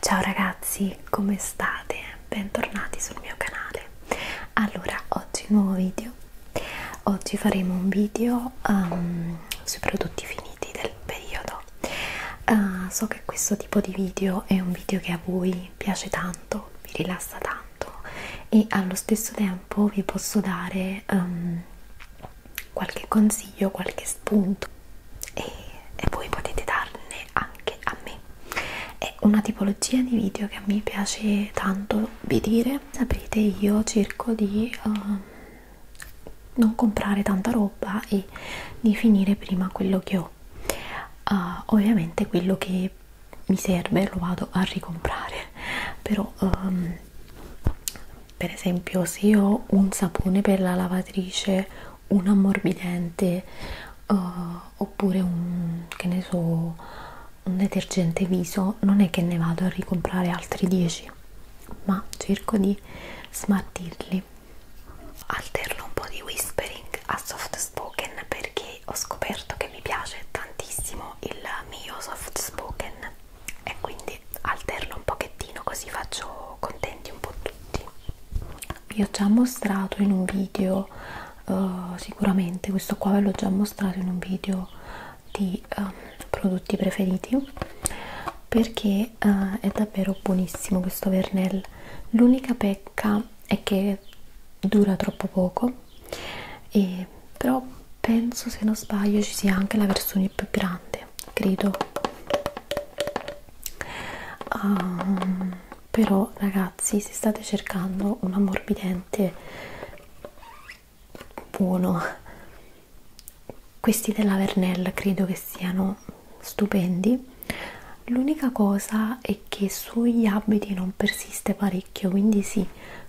Ciao ragazzi, come state? Bentornati sul mio canale. Allora, oggi nuovo video. Oggi faremo un video um, sui prodotti finiti del periodo. Uh, so che questo tipo di video è un video che a voi piace tanto, vi rilassa tanto e allo stesso tempo vi posso dare um, qualche consiglio, qualche spunto e, e voi potete darne anche a me è una tipologia di video che a me piace tanto vedere sapete io cerco di uh, non comprare tanta roba e di finire prima quello che ho uh, ovviamente quello che mi serve lo vado a ricomprare però um, per esempio se ho un sapone per la lavatrice un ammorbidente uh, eh, oppure un che ne so un detergente viso non è che ne vado a ricomprare altri 10 ma cerco di smartirli alterno un po' di whispering a soft spoken perché ho scoperto che mi piace tantissimo il mio soft spoken e quindi alterno un pochettino così faccio contenti un po' tutti vi ho già mostrato in un video uh, sicuramente questo qua ve l'ho già mostrato in un video di uh, prodotti preferiti perché uh, è davvero buonissimo questo vernel l'unica pecca è che dura troppo poco e però penso se non sbaglio ci sia anche la versione più grande credo um, però ragazzi se state cercando un ammorbidente buono questi della Vernell credo che siano stupendi l'unica cosa è che sugli abiti non persiste parecchio quindi sì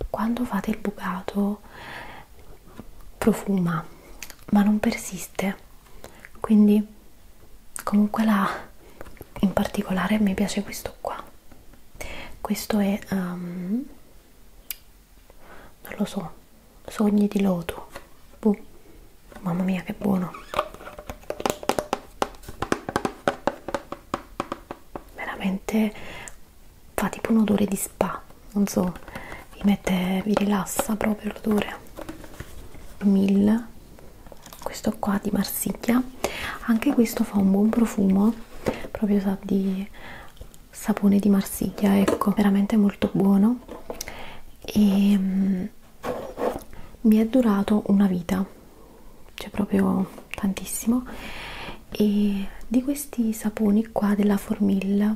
quando fate il bucato profuma ma non persiste quindi comunque la in particolare mi piace questo qua questo è um, non lo so sogni di loto Buh. mamma mia che buono veramente fa tipo un odore di spa non so vi mette vi rilassa proprio l'odore 1000 questo qua di marsiglia anche questo fa un buon profumo proprio sa di sapone di marsiglia ecco veramente molto buono e mm, mi è durato una vita cioè proprio tantissimo e di questi saponi qua della Formil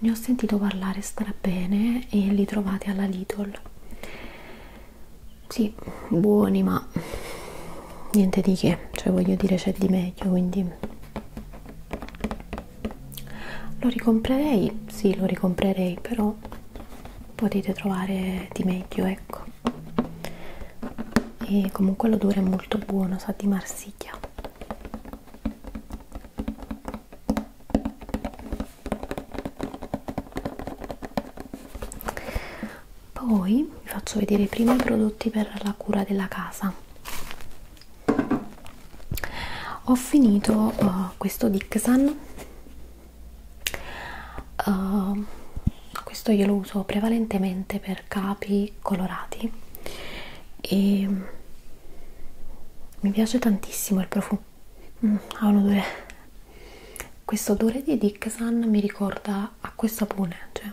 ne ho sentito parlare strabene bene e li trovate alla Lidl sì, buoni ma niente di che, cioè voglio dire c'è di meglio quindi lo ricomprerei, sì lo ricomprerei però potete trovare di meglio ecco e comunque l'odore è molto buono, sa di marsiglia poi vi faccio vedere prima i prodotti per la cura della casa ho finito uh, questo Dixan uh, questo io lo uso prevalentemente per capi colorati e mm, mi piace tantissimo il profumo mm, ha un odore questo odore di Dixon mi ricorda acqua e sapone cioè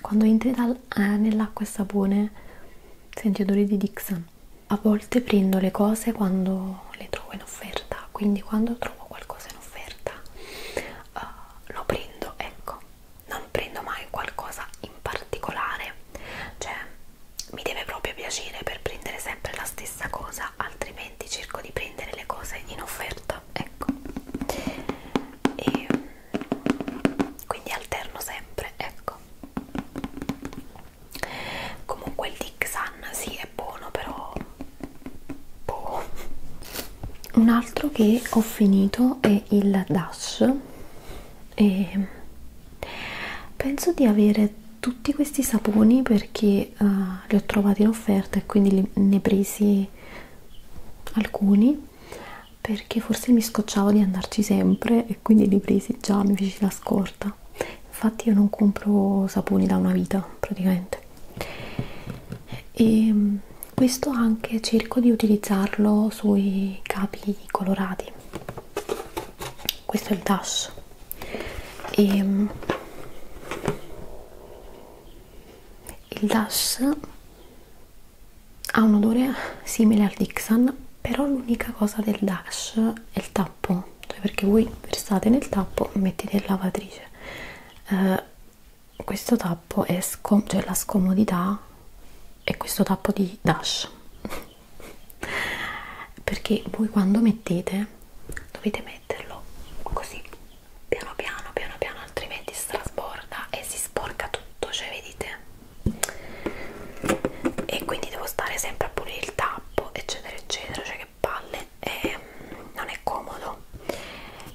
quando entri dal, eh, nell'acqua e sapone senti odore di Dixon a volte prendo le cose quando le trovo in offerta quindi quando trovo qualcosa in offerta uh, lo prendo ecco non prendo mai qualcosa in particolare cioè mi deve proprio piacere per prendere sempre la stessa cosa altrimenti cerco di prendere le cose in offerta ecco e quindi alterno sempre ecco comunque il Dixan si sì, è buono però boh. un altro che ho finito è il Dash e penso di avere tutti questi saponi perché uh, li ho trovati in offerta e quindi li, ne presi alcuni perché forse mi scocciavo di andarci sempre e quindi li presi già mi feci la scorta infatti io non compro saponi da una vita praticamente e mm, questo anche cerco di utilizzarlo sui capi colorati questo è il tasso e, ehm, il DAS ha un odore simile al Dixon però l'unica cosa del DAS è il tappo cioè perché voi versate nel tappo mettete in lavatrice eh, questo tappo è scom cioè la scomodità è questo tappo di DAS perché voi quando mettete dovete metterlo così piano piano piano piano altrimenti strasborda e si sporca tutto cioè vedete e quindi devo stare sempre a pulire il tappo eccetera eccetera cioè che palle e mm, non è comodo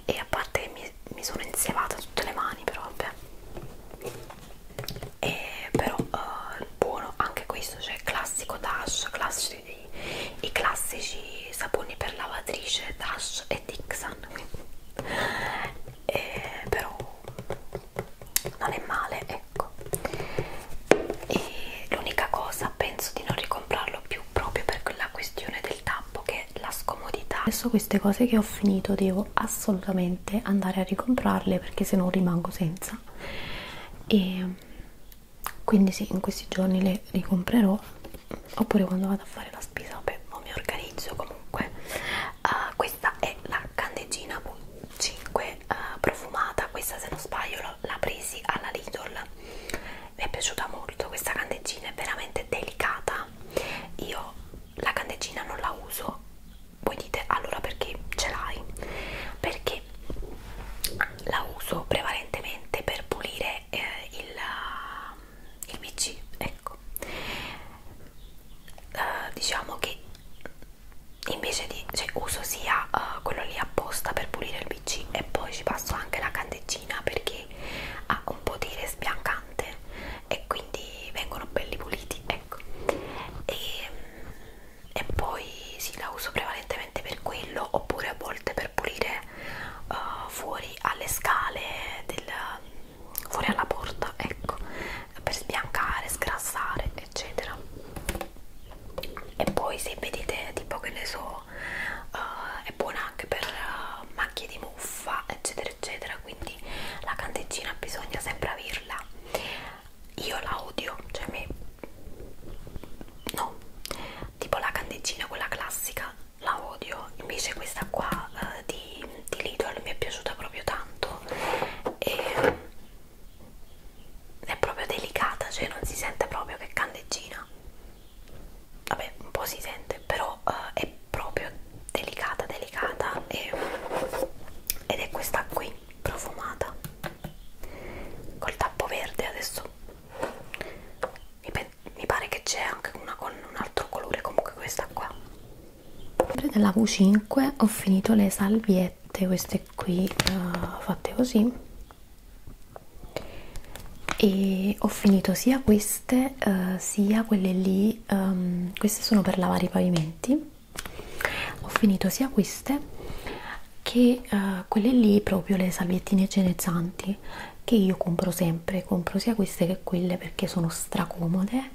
e a parte mi, mi sono insievata tutte le mani però vabbè e però eh, buono anche questo cioè classico Dash classici, i classici saponi per lavatrice Dash e Dixon e, però non è male ecco e l'unica cosa penso di non ricomprarlo più proprio per la questione del tappo che è la scomodità adesso queste cose che ho ho finito devo assolutamente andare a ricomprarle perché se no rimango senza e quindi sì in questi giorni le ricomprerò oppure quando vado a fare la spesa vabbè non mi organizzo comunque uh, questa è la candeggina 5 uh, ah, profumata questa se non sbaglio l'ha presi alla Lidl mi è piaciuta molto questa candeggina è veramente delicata io la candeggina non la uso voi dite allora perché ce l'hai perché la uso prevalentemente per pulire eh, il, il pc ecco uh, diciamo che invece di cioè, uso sia uh, quello lì apposta per pulire il pc e poi ci passo anche la candeggina perché ha un potere sbiancante e quindi vengono belli puliti ecco e, e poi sì, la uso prevalentemente per quello oppure a volte per pulire uh, fuori alle scale del, fuori alla porta ecco per sbiancare sgrassare eccetera e poi se vedete tipo che ne so uh, è buona anche per uh, macchie di muffa eccetera eccetera eccetera quindi la candeggina bisogna sempre averla io la odio cioè me no tipo la candeggina quella classica la odio invece questa qua uh, di, di Lidl mi è piaciuta proprio tanto e è proprio delicata cioè non si sente proprio che candeggina vabbè un po' si sente però uh, è proprio delicata delicata e, ed è questa qui profumata col tappo verde adesso mi, mi pare che c'è anche una con un altro colore comunque questa qua sempre della V5 ho finito le salviette queste qui uh, fatte così e ho finito sia queste uh, sia quelle lì um, queste sono per lavare i pavimenti ho finito sia queste che uh, quelle lì proprio le salviettine igienizzanti che io compro sempre compro sia queste che quelle perché sono stracomode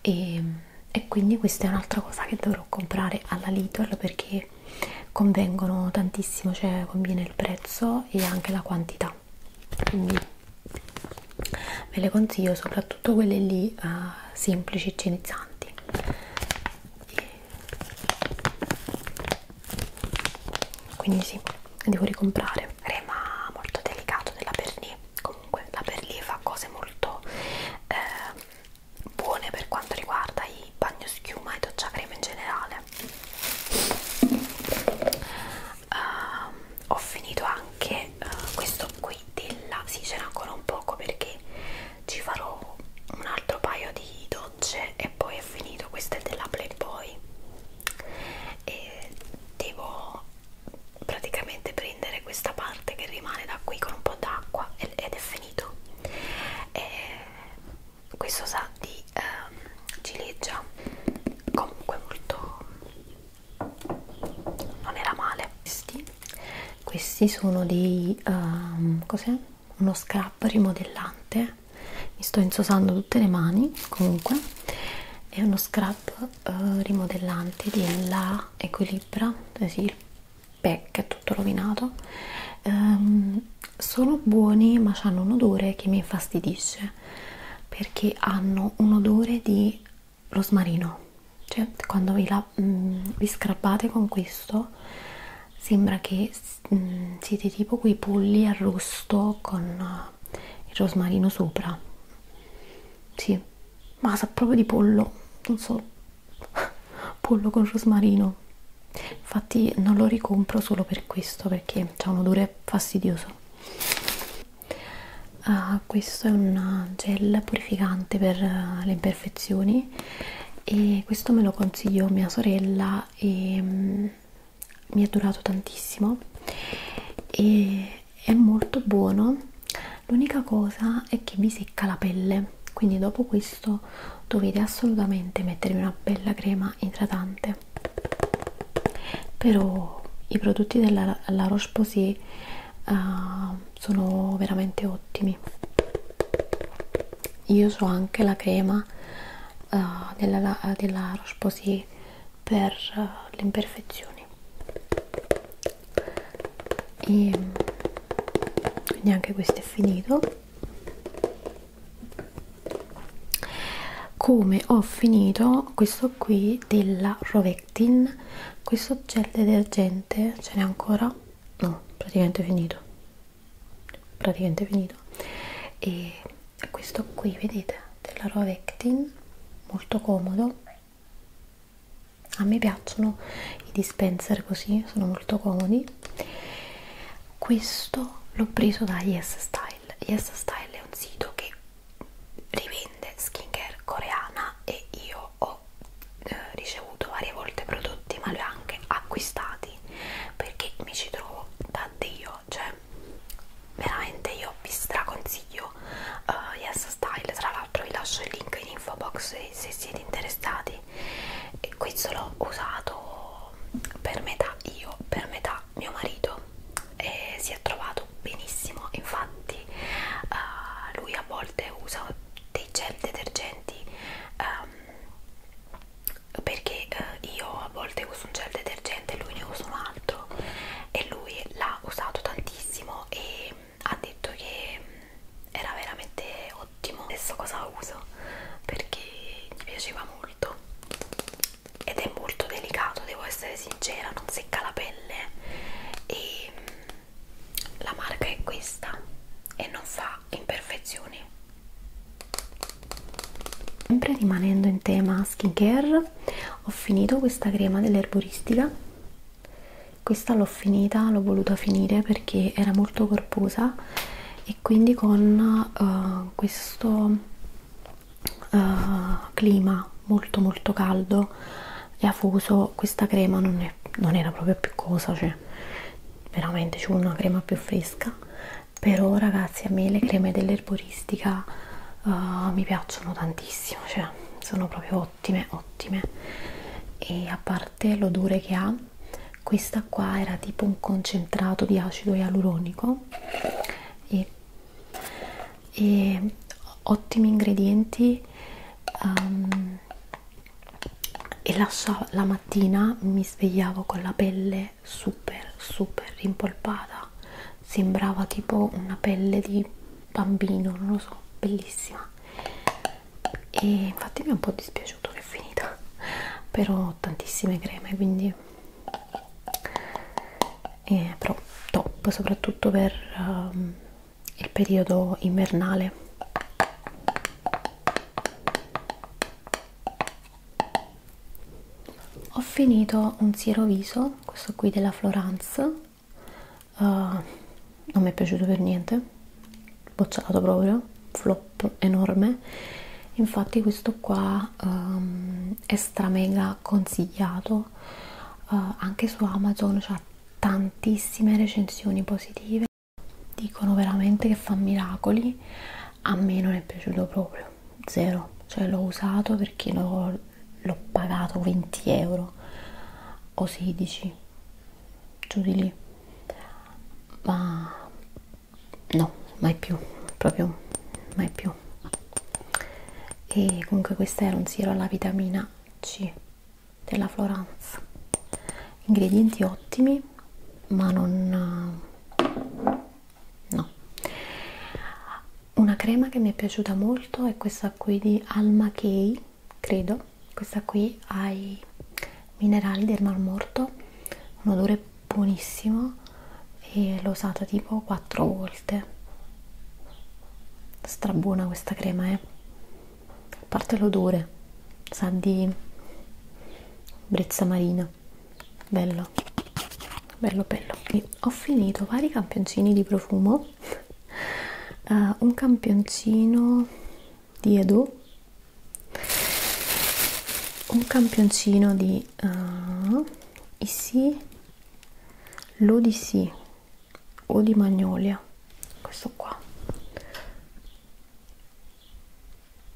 e, e quindi questa è un'altra cosa che dovrò comprare alla Lidl perché convengono tantissimo cioè conviene il prezzo e anche la quantità quindi ve le consiglio soprattutto quelle lì uh, semplici e inizianti quindi sì devo ricomprare crema molto delicato della Berlì comunque la Berlì fa cose molto eh, buone per quanto riguarda i bagno schiuma e doccia crema in generale uh, ho finito anche è uh, eh, questo qui della sì ce n'è ancora un poco perché ci farò un altro paio di docce e poi è finito questo è della Playboy e devo praticamente prendere questa parte che rimane da qui con un po' d'acqua ed è finito e questo sa di um, ciliegia comunque molto non era male questi, questi sono dei um, cos'è? uno scrub rimodellante mi sto insosando tutte le mani comunque è uno scrub uh, rimodellante della Equilibra sì, il pack è tutto rovinato um, sono buoni ma hanno un odore che mi infastidisce perché hanno un odore di lo smarino cioè quando vi, la, mm, vi scrappate con questo sembra che mm, siete tipo quei polli arrosto con uh, il rosmarino sopra sì ma sa proprio di pollo non so pollo con rosmarino infatti non lo ricompro solo per questo perché c'è un odore fastidioso uh, questo è un gel purificante per eh, le imperfezioni e questo me lo consiglio mia sorella e um, mi è durato tantissimo e è molto buono l'unica cosa è che vi secca la pelle quindi dopo questo dovete assolutamente mettervi una bella crema idratante però i prodotti della La Roche-Posay uh, sono veramente ottimi io uso anche la crema uh, della, della Roche Posay per uh, le imperfezioni e quindi anche questo è finito come ho finito questo qui della Rovera Actin questo gel detergente ce n'è ancora? no, praticamente finito praticamente finito e questo qui vedete della Rovectin molto comodo a me piacciono i dispenser così sono molto comodi questo l'ho preso da Yes Style Yes Style è un sito che rivende skincare coreana e io ho eh, ricevuto varie volte prodotti ma li ho anche acquistati perché mi ci trovo da Dio cioè veramente io vi straconsiglio uh, Yes Style tra l'altro vi lascio il link in info box se, se siete interessati e questo l'ho usato per metà io per metà mio marito e si è trovato fatto benissimo infatti uh, lui a volte usa dei gel detergenti um, perché uh, io a volte uso un gel detergente e lui ne usa un altro e lui l'ha usato tantissimo e ha detto che era veramente ottimo adesso cosa uso perché gli piaceva molto ed è molto delicato devo essere sincera non secca la pelle pelle e mm, la marca è questa e non fa imperfezioni sempre rimanendo in tema skincare ho finito questa crema dell'erboristica questa l'ho finita l'ho voluta finire perché era molto corposa e quindi con uh, questo uh, clima molto molto caldo e afuso questa crema non, è, non era proprio più cosa cioè veramente c'è una crema più fresca però ragazzi a me le creme dell'erboristica uh, mi piacciono tantissimo cioè sono proprio ottime ottime e a parte l'odore che ha questa qua era tipo un concentrato di acido ialuronico e e ottimi ingredienti um, e la, la mattina mi svegliavo con la pelle super super rimpolpata sembrava tipo una pelle di bambino non lo so bellissima e infatti mi è un po' dispiaciuto che è finita però ho tantissime creme quindi eh, però top soprattutto per um, il periodo invernale ho finito un siero viso questo qui della Florence uh, non mi è piaciuto per niente bocciato proprio flop enorme infatti questo qua um, è stra mega consigliato uh, anche su Amazon c'ha tantissime recensioni positive dicono veramente che fa miracoli a me non è piaciuto proprio zero cioè l'ho usato perché l'ho pagato 20 euro o 16 giù di lì ma no mai più proprio mai più buono e comunque questo era un siero alla vitamina C della Floranza ingredienti ottimi ma non eh, no una crema che mi è piaciuta molto è questa qui di Alma Key credo questa qui ha i minerali del malmorto un odore buonissimo e l'ho usata tipo 4 volte strabuona questa crema eh a parte l'odore sa di brezza marina bello bello bello e ho finito vari campioncini di profumo uh, un campioncino di Edo un campioncino di uh, Issy l'ODC o di magnolia questo qua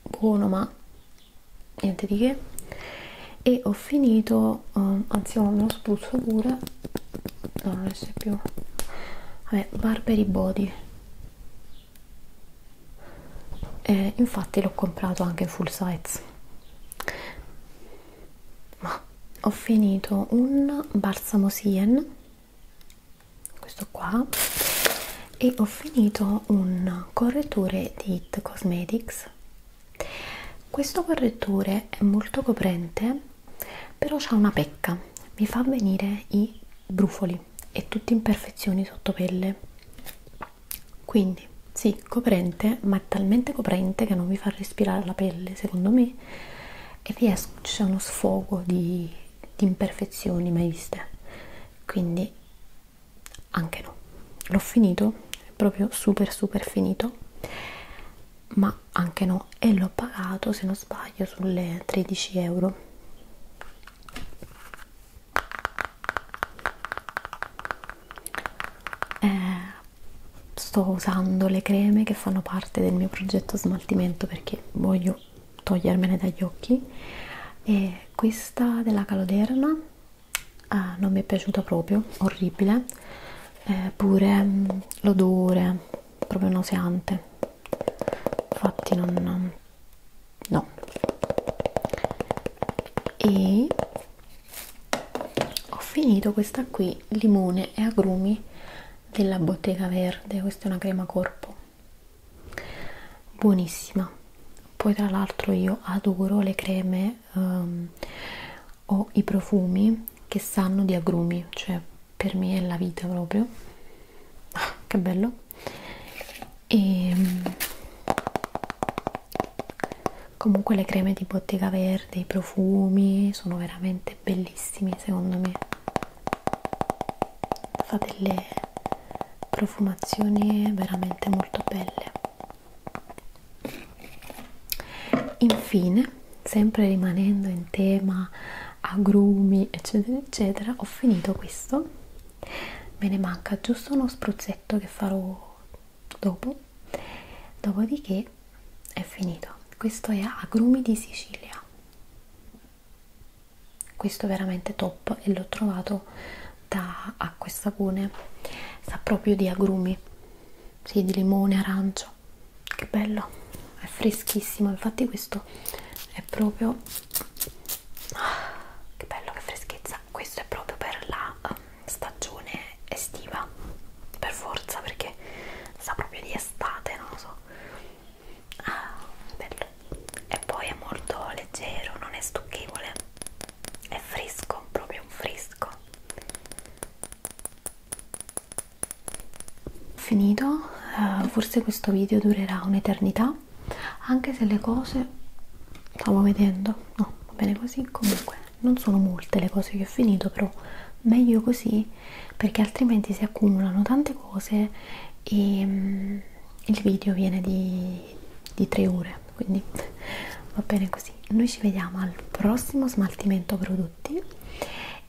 buono ma niente di che e ho finito um, anzi ho uno spruzzo pure no non esce più vabbè Barberi Body e eh, infatti l'ho comprato anche in full size ma ho finito un balsamo sien questo qua e ho finito un correttore di It Cosmetics questo correttore è molto coprente però c'ha una pecca mi fa venire i brufoli e tutte imperfezioni sotto pelle quindi sì, coprente, ma è talmente coprente che non vi fa respirare la pelle, secondo me, e vi esce cioè uno sfogo di, di imperfezioni mai viste. Quindi anche no, l'ho finito, è proprio super super finito, ma anche no, e l'ho pagato se non sbaglio sulle 13 euro. Eh, sto usando le creme che fanno parte del mio progetto smaltimento perché voglio togliermene dagli occhi e questa della caloderma ah, non mi è piaciuta proprio orribile eh, pure mm, l'odore proprio nauseante infatti non no e ho finito questa qui limone e agrumi della bottega verde questa è una crema corpo buonissima poi tra l'altro io adoro le creme um, o i profumi che sanno di agrumi cioè per me è la vita proprio ah, che bello e ehm, comunque le creme di bottega verde i profumi sono veramente bellissimi secondo me fa delle profumazioni veramente molto belle infine sempre rimanendo in tema agrumi eccetera eccetera ho finito questo me ne manca giusto uno spruzzetto che farò dopo dopodiché è finito questo è agrumi di sicilia questo è veramente top e l'ho trovato da acqua e sapone sta proprio di agrumi sì, di limone arancio che bello è freschissimo infatti questo è proprio ah, che bello che freschezza questo è proprio per la um, stagione estiva per forza perché sa proprio di estate non lo so ah, bello e poi è molto leggero non è stucchevole è fresco proprio un fresco finito uh, forse questo video durerà un'eternità anche se le cose stavo vedendo no va bene così comunque non sono molte le cose che ho finito però meglio così perché altrimenti si accumulano tante cose e um, il video viene di, di 3 ore quindi va bene così noi ci vediamo al prossimo smaltimento prodotti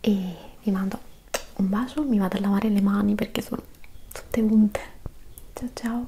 e vi mando un bacio mi vado a lavare le mani perché sono tutte unte ciao ciao